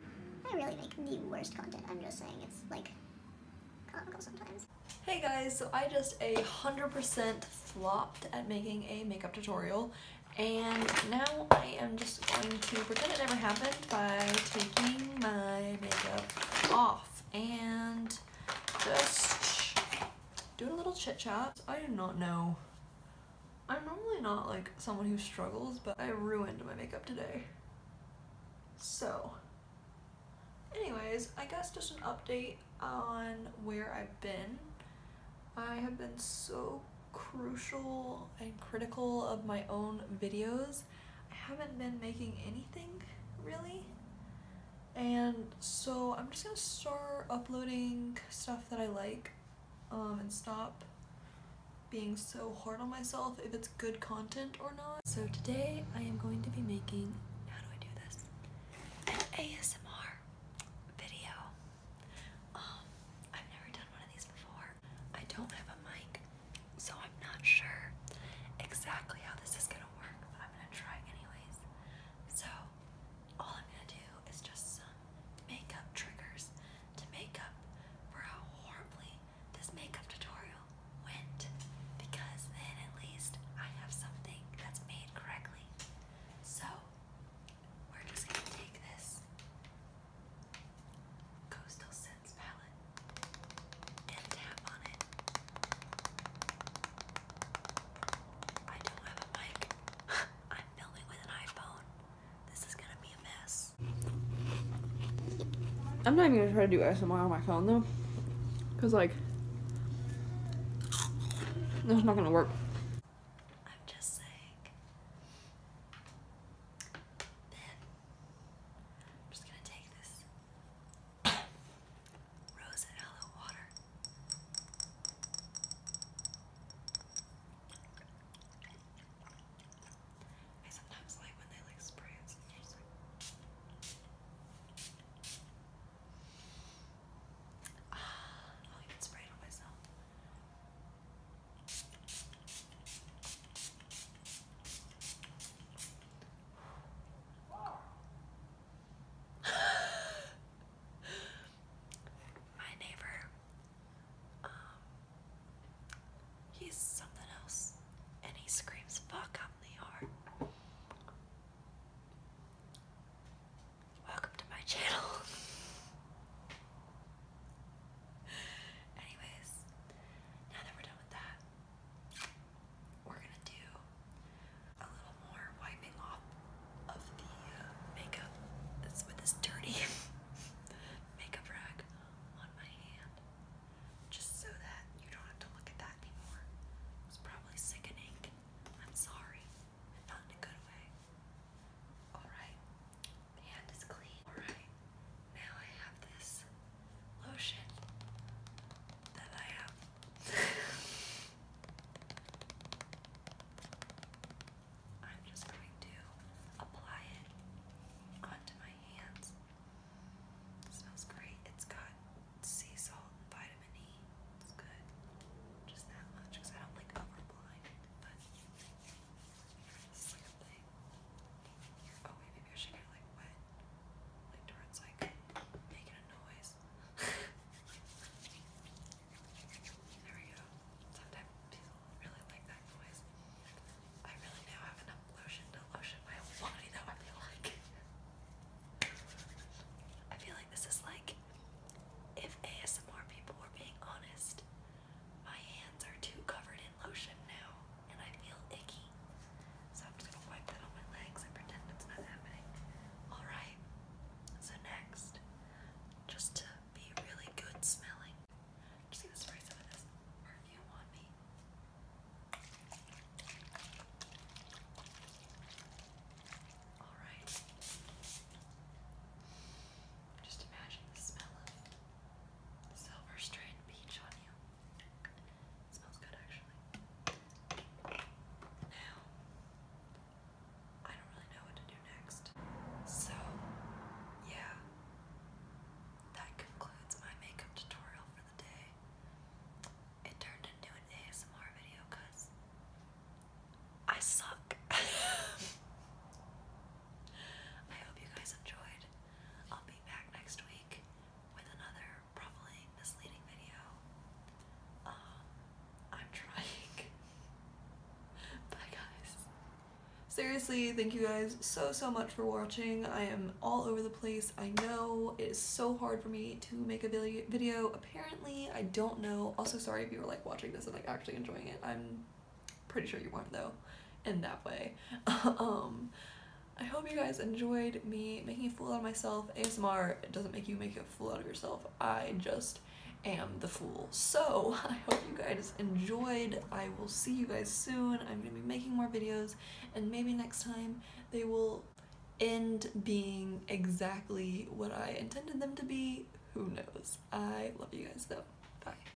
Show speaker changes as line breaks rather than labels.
I really make the worst content. I'm just saying it's like Hey guys, so I just a 100% flopped at making a makeup tutorial and now I am just going to pretend it never happened by taking my makeup off and just doing a little chit chat. I do not know I'm normally not like someone who struggles, but I ruined my makeup today. So, anyways, I guess just an update on where I've been. I have been so crucial and critical of my own videos. I haven't been making anything, really. And so I'm just gonna start uploading stuff that I like um, and stop being so hard on myself if it's good content or not. So today I am going to be making, how do I do this? An ASMR
video. Um, I've never done one of these before. I don't have a mic, so I'm not sure exactly how this is gonna work, but I'm gonna try anyways. So all I'm gonna do it's just some makeup triggers to make up for how horribly this makeup tutorial went because then at least I have something that's made correctly. So we're just going to take this Coastal Scents palette and tap on it.
I don't have a mic. I'm filming with an iPhone. This is gonna be a mess. I'm not even gonna try to do smi on my phone though. Cause like, that's not gonna work.
I sometimes like when they like spray it, so just like. Ah, I'll even spray it on myself. Girl. My neighbor, um, he's something else, and he screams fuck up in the yard. Welcome to my channel. Anyways, now that we're done with that, we're gonna do a little more wiping off of the uh, makeup that's with this dirty makeup rag on my hand just so that you don't have to look at that anymore. It's probably sickening. I'm sorry. Not in a good way. Alright. My hand is clean. Alright. Now I have this lotion that I have. I'm just going to apply it onto my hands. smells great. It's got sea salt and vitamin E. It's good. Just that much because I don't like overblowing it. But this is like a thing. Oh wait, maybe I should get like wet. Like towards like making there we go. Sometimes people really like that noise. I really now have enough lotion to lotion my body though, I feel like. I feel like this is like if ASMR people were being honest, my hands are too covered in lotion now and I feel icky. So I'm just gonna wipe that on my legs and pretend it's not happening. Alright, so next, just to be really good smelling, just gonna spray some of this perfume on me. Alright. Just imagine the smell of silver strand peach on you. smells good actually. Now, I don't really know what to do next. So, yeah, that concludes my makeup tutorial for the day. It turned into an ASMR video because I suck. I hope you guys enjoyed. I'll be back next week with another probably misleading video.
Um, I'm trying. Bye, guys. Seriously, thank you guys so, so much for watching. I am all over the place. I know it is so hard for me to make a video. Apparently, I don't know. Also, sorry if you were like watching this and like actually enjoying it. I'm Pretty sure you weren't though, in that way. um, I hope you guys enjoyed me making a fool out of myself. ASMR doesn't make you make a fool out of yourself. I just am the fool. So I hope you guys enjoyed. I will see you guys soon. I'm going to be making more videos and maybe next time they will end being exactly what I intended them to be. Who knows? I love you guys though. Bye.